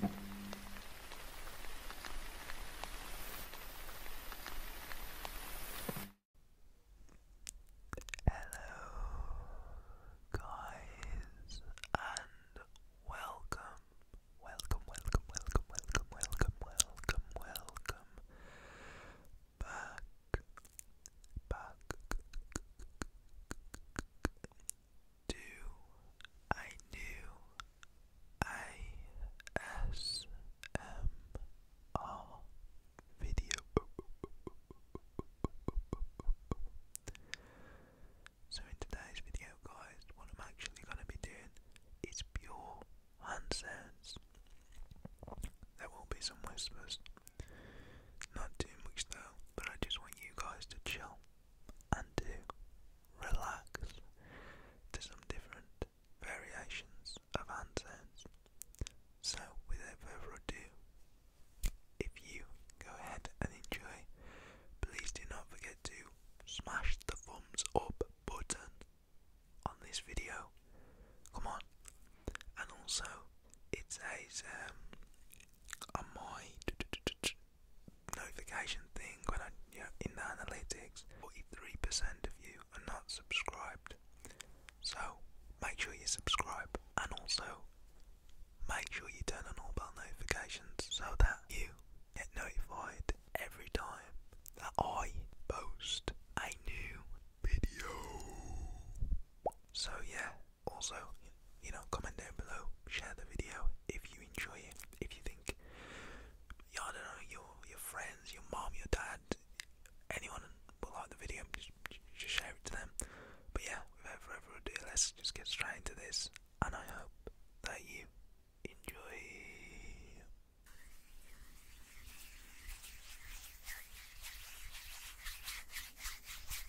Hello, guys, and welcome, welcome, welcome, welcome, welcome, welcome, welcome, welcome back, back do I do ASMR video. So in today's video guys, what I'm actually going to be doing is pure hand There will be some whispers. Not too much though, but I just want you guys to chill and to relax to some different variations of hand So, without further ado, if you go ahead and enjoy, please do not forget to smash the thumbs up button on this video. Come on, and also it says um, notification thing when I, you in the analytics, 43% of you are not subscribed. So make sure you subscribe and also make sure you turn on all bell notifications so that you get notified every time that I post a new video. So yeah, also, you know, comment down below, share the video if you enjoy it. If you think, you know, don't know, your your friends, your mom, your dad, anyone will like the video, just, just share it to them. But yeah, without further ado, let's just get straight into this, and I hope that you enjoy.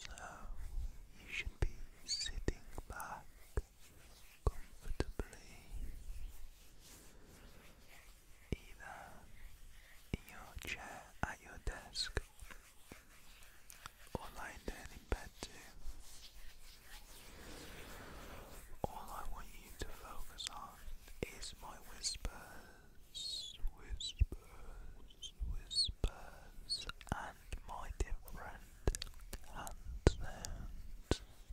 So you should be sitting back comfortably either in your chair at your desk or lying down in bed too. All I want you to focus on is my whispers, whispers, whispers, and my different hand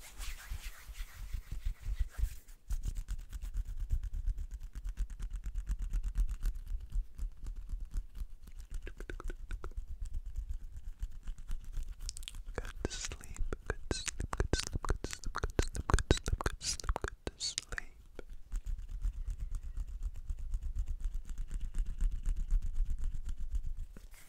Good sleep, good sleep, good sleep, good sleep, good sleep, good sleep, good sleep, good sleep. Good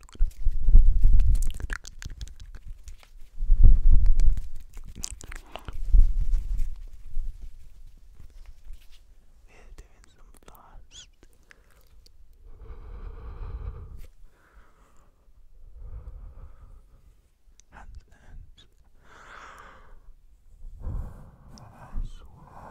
We're doing some fast. Handstands. I swear.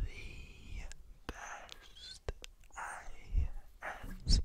The best ASMR hand on YouTube.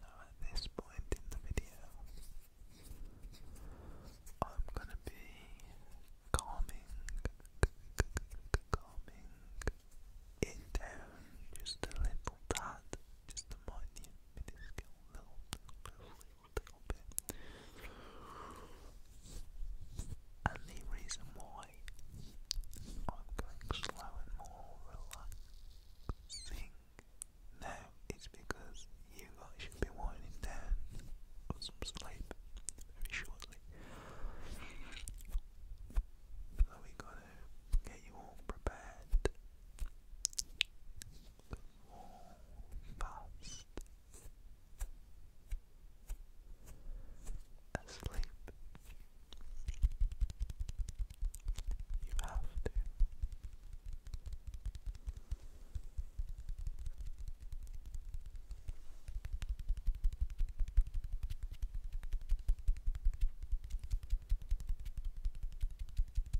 Now, at this point in the video, I'm going to be calming, calming it down just a little tad, just a minute minuscule And the reason why I'm going slow and more relaxing now is because you guys should be winding down for some sleep very shortly. So we got get you all prepared. All fast. Asleep. You have to.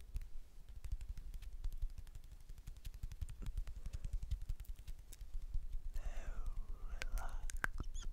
relax and go to sleep.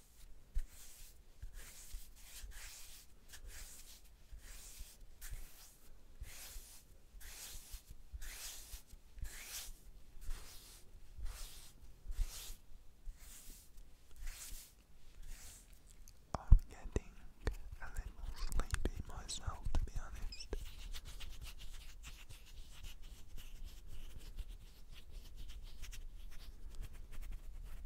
I'm getting a little sleepy myself, to be honest.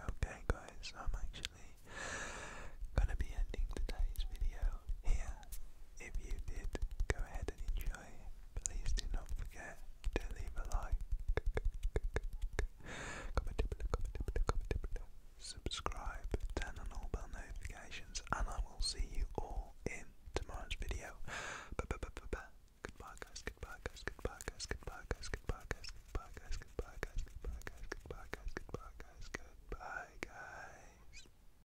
Okay guys, I'm actually going to be ending today's video here. If you did, go ahead and enjoy. Please do not forget to leave a like, comment below, comment below, comment subscribe, turn on all bell notifications, and I will see you all in tomorrow's video. Goodbye, guys. Goodbye, guys. Goodbye, guys. Goodbye, guys. Goodbye, guys. Goodbye, guys. Goodbye, guys. Goodbye, guys. Goodbye, guys. Goodbye, guys. Goodbye, guys.